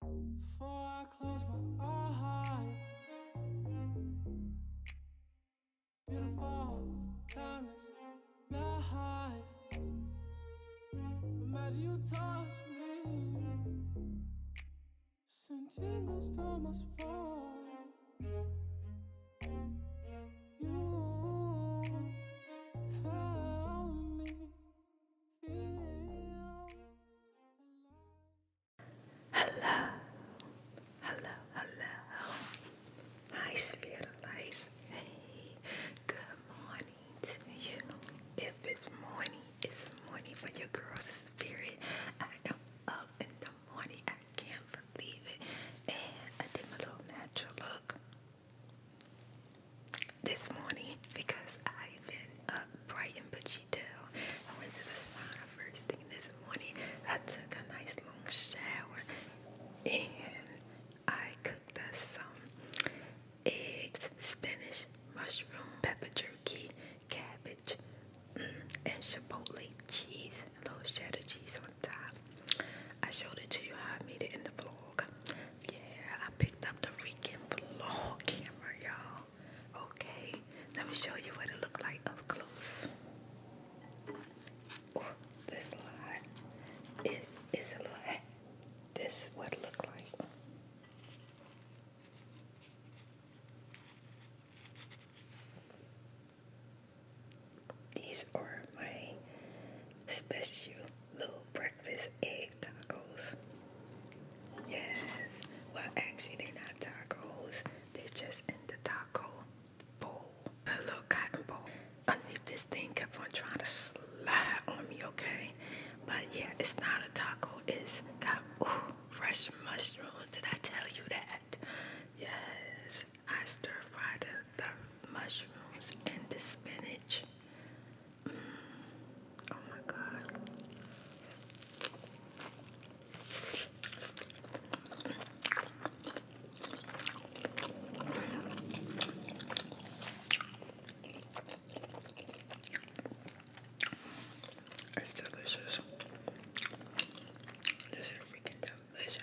Before I close my eyes, beautiful, timeless life. Imagine you touch me, send tingles to my spine. You help me Hello, hello, hello. Hi, Spiritualize. Hey, good morning to you. If it's morning, it's morning for your girl's spirit. I am up in the morning. I can't believe it. And I little natural look this morning because I've been up bright and bitchy down. I went to the sauna first thing this morning. I took a nice long shower and I cooked us some eggs, spinach, mushroom, pepper jerky, cabbage, mm, and chipotle cheese, a little cheddar cheese on top. I showed it to you how I made it in the vlog. Yeah, I picked up the freaking vlog camera, y'all. Okay, let me show you what it looked like up close. Oh, this light is it's a little This is what it looked like. These are my special little breakfast egg tacos. Yes. Well, actually, they're not tacos. They're just in the taco bowl, a little cotton bowl. Underneath this thing kept on trying to slide on me, okay? But yeah, it's not a taco. It's got ooh, fresh mushrooms. Did I tell you that? Yes. I stir fried the mushrooms and the spinach. Oh my god. It's delicious. This is freaking delicious.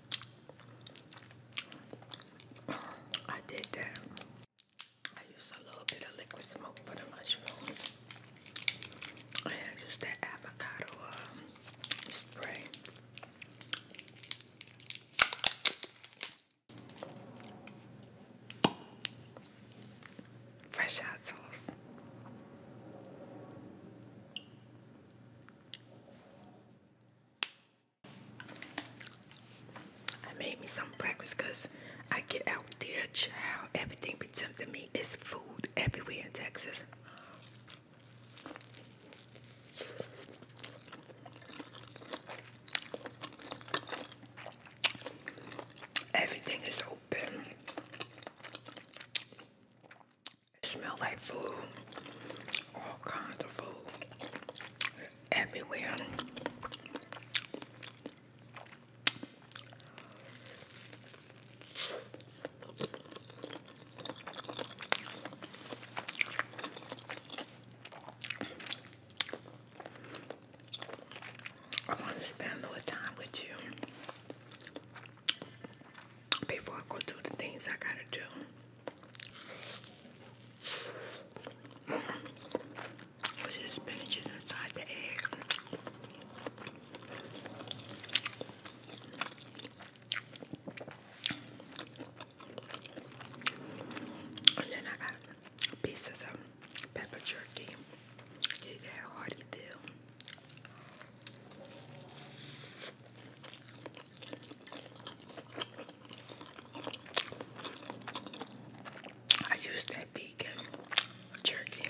I did that. I used a little bit of liquid smoke for the mushrooms. I used that avocado um, spray. Fresh hot sauce. I made me some breakfast because I get out there, child. Everything be tempting me. is food everywhere in Texas. Everything is open. It smelled like food, all kinds of food everywhere. I want to spend a time with you before I go do the things I gotta do. See the spinach is inside the egg. And then I got pieces of pepper jerky. Get that hearty feel. I used that vegan jerky.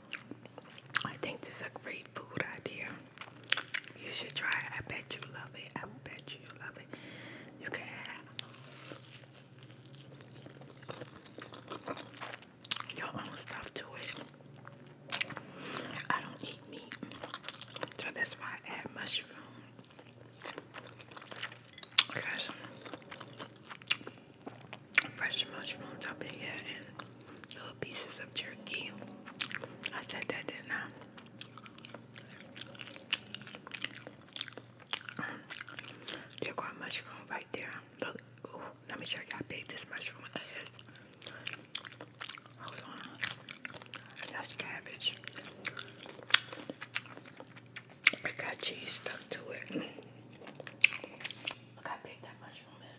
I think this is a great food idea. You should try it. I bet you love it. I bet you love it. You can have your own stuff to it. I don't eat meat, so that's why I add mushroom. fresh mushrooms up in here and little pieces of jerky. I said that, didn't I? There mushroom right there. Look, let me show you how big this mushroom is. That's cabbage. I got cheese stuck to it. Look how big that mushroom is.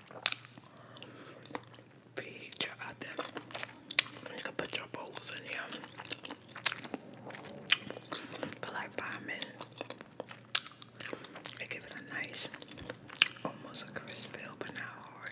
feature out there. You can put your bowls in here for like five minutes. They give it a nice, almost a crisp feel, but not hard.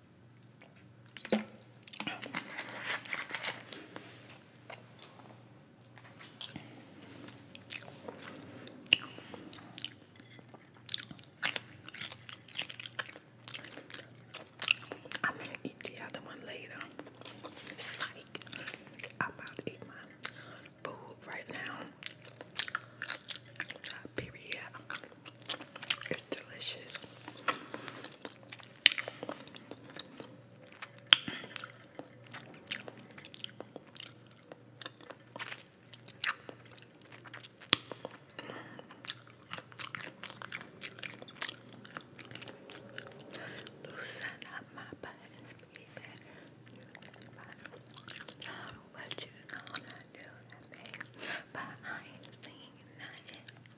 I'm gonna eat the other one later. Psych. I'm about to eat my food right now period. It's delicious. Loosen up my buttons, baby. What you gonna do to me? But I ain't seeing nothing.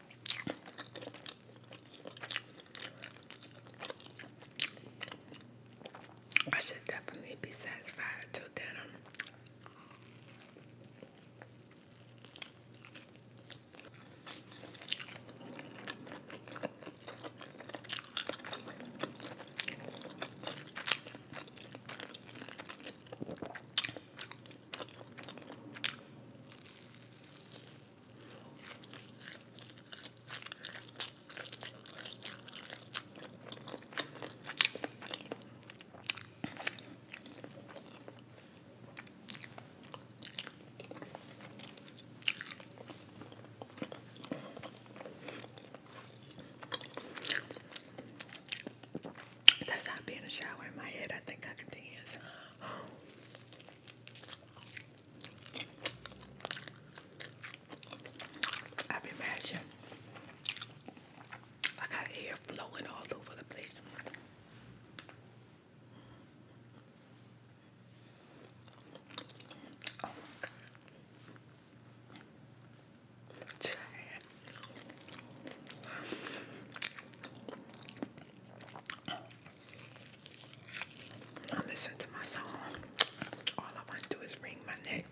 I should definitely be satisfied till dinner. That's not being a shower in my head. I think I can dance. I imagine I got air flowing all over the place. Oh my God. I listen to my song. All I want to do is wring my neck.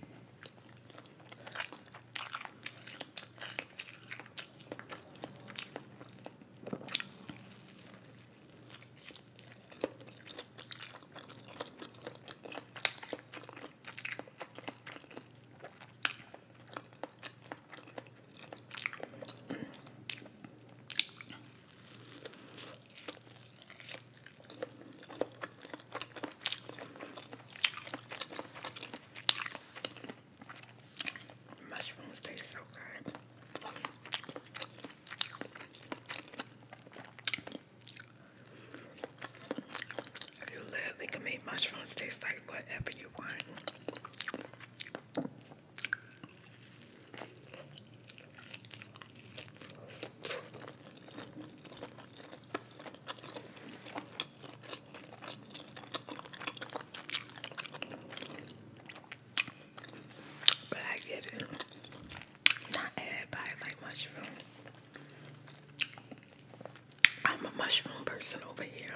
Mushrooms taste so good. You literally can make mushrooms taste like whatever you want. But I get it. Not everybody like mushroom. I'm a mushroom person over here.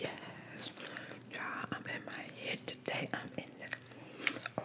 Yes, y'all, I'm in my head today. I'm in the, all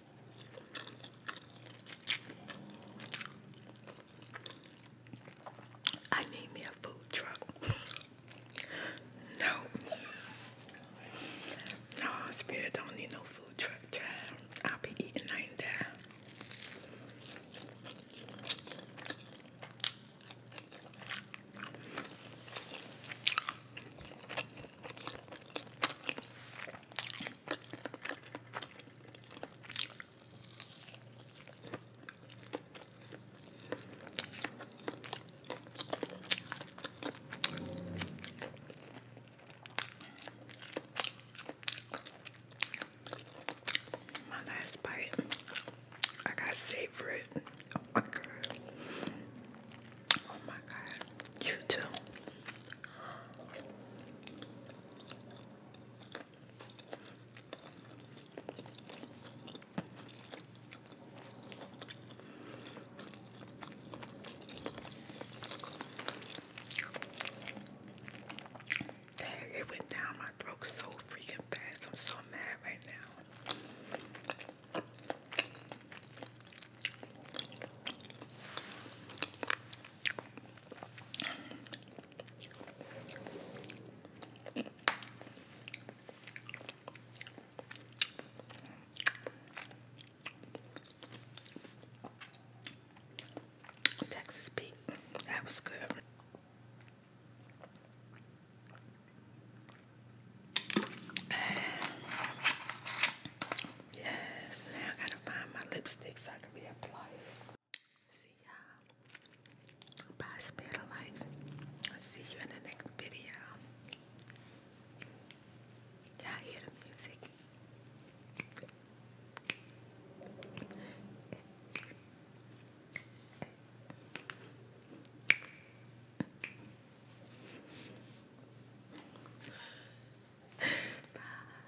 I need me a food truck. no. No, Spirit don't need no food truck, I'll be eating night and time. My last bite, I got savor it. Oh, oh my god. You too. Dang, it went down my throat so freaking fast. I'm so mad right now. Texas beat. That was good. Yes, find my lipsticks so I can be it. See y'all. Bye, spirit I'll see you in the next video. Y'all hear the music? Bye.